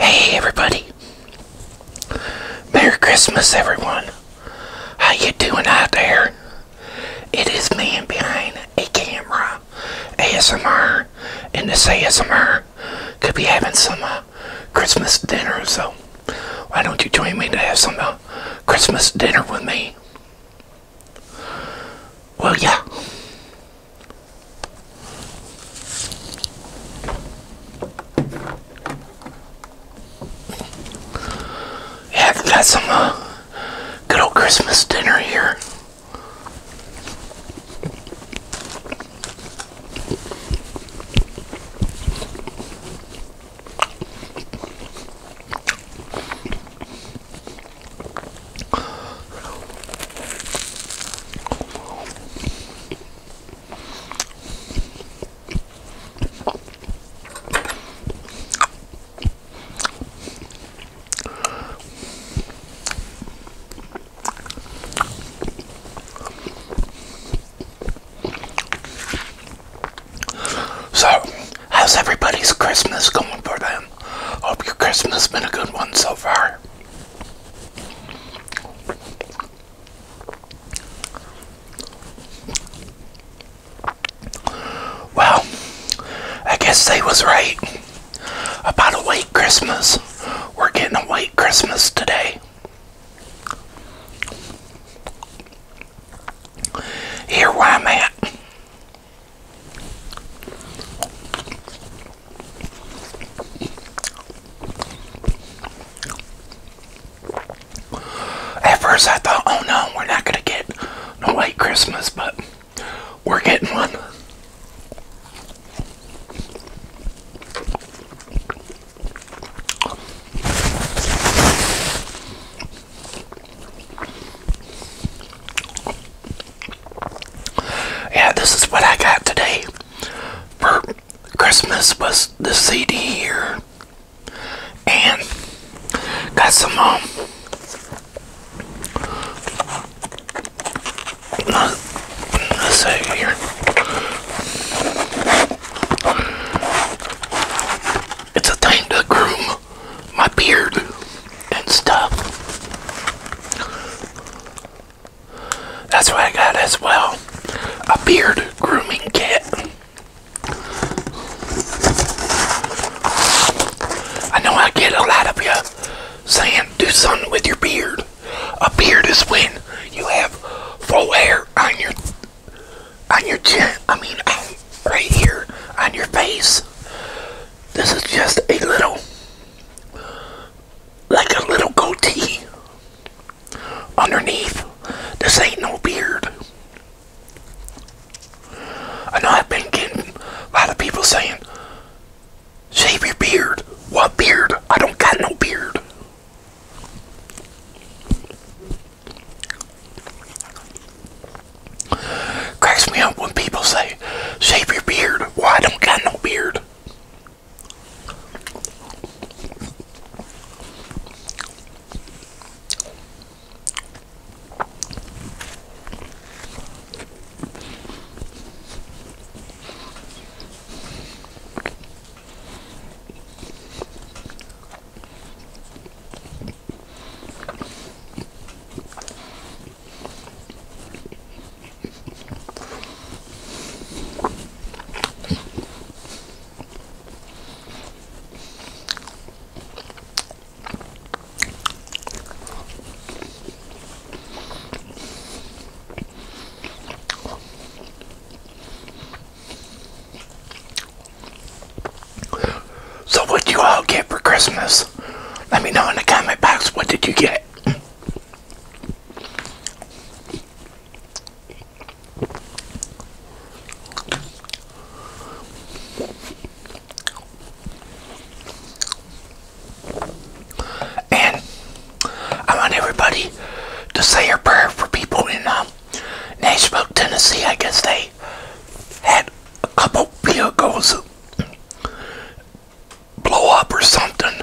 Hey everybody. Merry Christmas everyone. How you doing out there? It is man behind a camera. ASMR and this ASMR could be having some uh, Christmas dinner so why don't you join me to have some uh, Christmas dinner with me? Well, yeah. Yeah, got some uh, good old Christmas dinner here. So, how's everybody's Christmas going for them? Hope your Christmas been a good one so far. Well, I guess they was right about a white Christmas. We're getting a white Christmas today. Here where I'm at. At first I thought, oh no, we're not going to get no white Christmas, but we're getting one. Yeah, this is what I got today for Christmas was the CD here. And got some um, let's see here. It's a thing to groom my beard and stuff. That's what I got as well. A beard grooming kit. I know I get a lot of you saying do something with your beard. A beard is when you have full hair on your on your chin. I mean right here on your face. This is just a little like a little goatee underneath. This ain't no beard. I know I've been getting a lot of people saying, shave your beard. What beard? I don't got no beard. Cracks me up when people say, shave your beard. Why I don't got no beard. So, what do you all get for Christmas? Let me know in the comment box what did you get. And I want everybody to say a prayer for people in um, Nashville, Tennessee. I guess they had a couple vehicles blow up or something.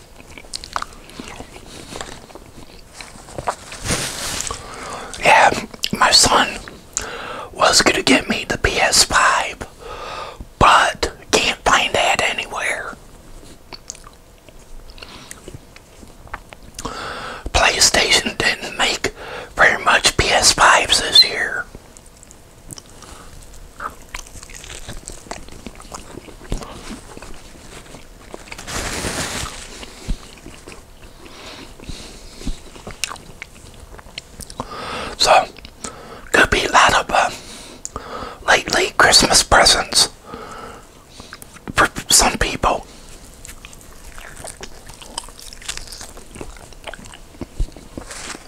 Yeah, my son was going to get me the PS5, but can't find that anywhere. PlayStation didn't make very much PS5s this year. So, could be a lot of uh, Christmas presents for some people.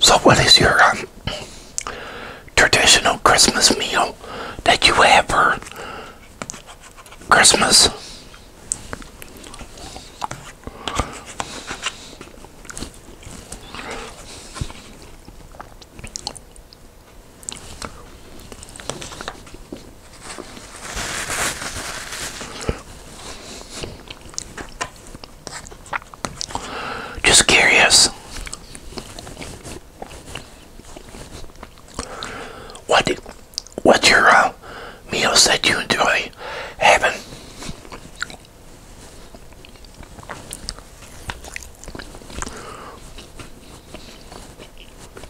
So, what is your um, traditional Christmas meal that you have for Christmas? Just curious. What did, your uh, meal said you enjoy Heaven.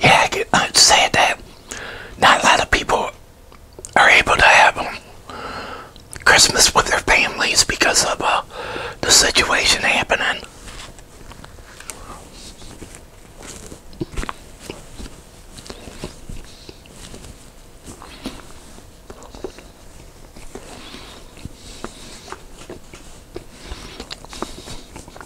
yeah, I said that not a lot of people are able to have um, Christmas with their families because of uh, the situation happening.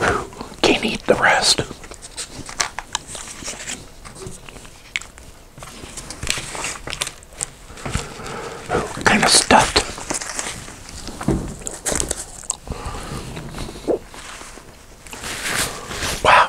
who can eat the rest. kind of stuffed. Wow.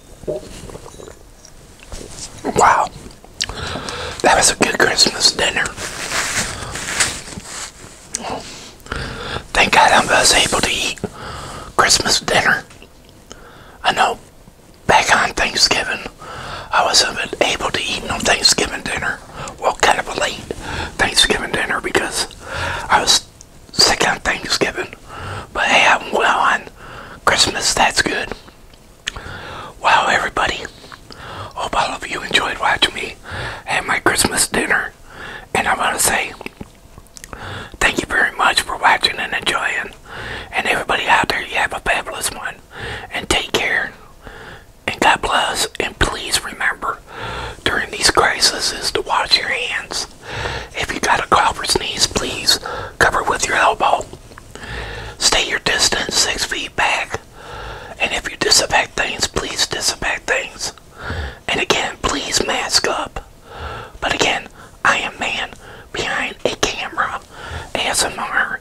Wow. That was a good Christmas dinner. Thank God I was able to eat Christmas dinner. I know back on Thanksgiving, I wasn't able to eat no Thanksgiving dinner. Well, kind of a late Thanksgiving dinner because I was sick on Thanksgiving. But hey, I'm well on Christmas. That's good. Wow, everybody, hope all of you enjoyed watching me at my Christmas dinner. And I want to say thank you very much for watching and enjoying. And everybody out there, you have a fabulous one. And take care. And God bless. And please remember, during these crises, to wash your hands. If you got a cough or sneeze, please cover with your elbow. Stay your distance, six feet back. And if you disinfect things, please disinfect things. And again, please mask up. But again, I am man behind a camera ASMR.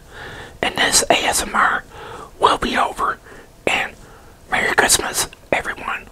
And this ASMR will be over. And Merry Christmas, everyone.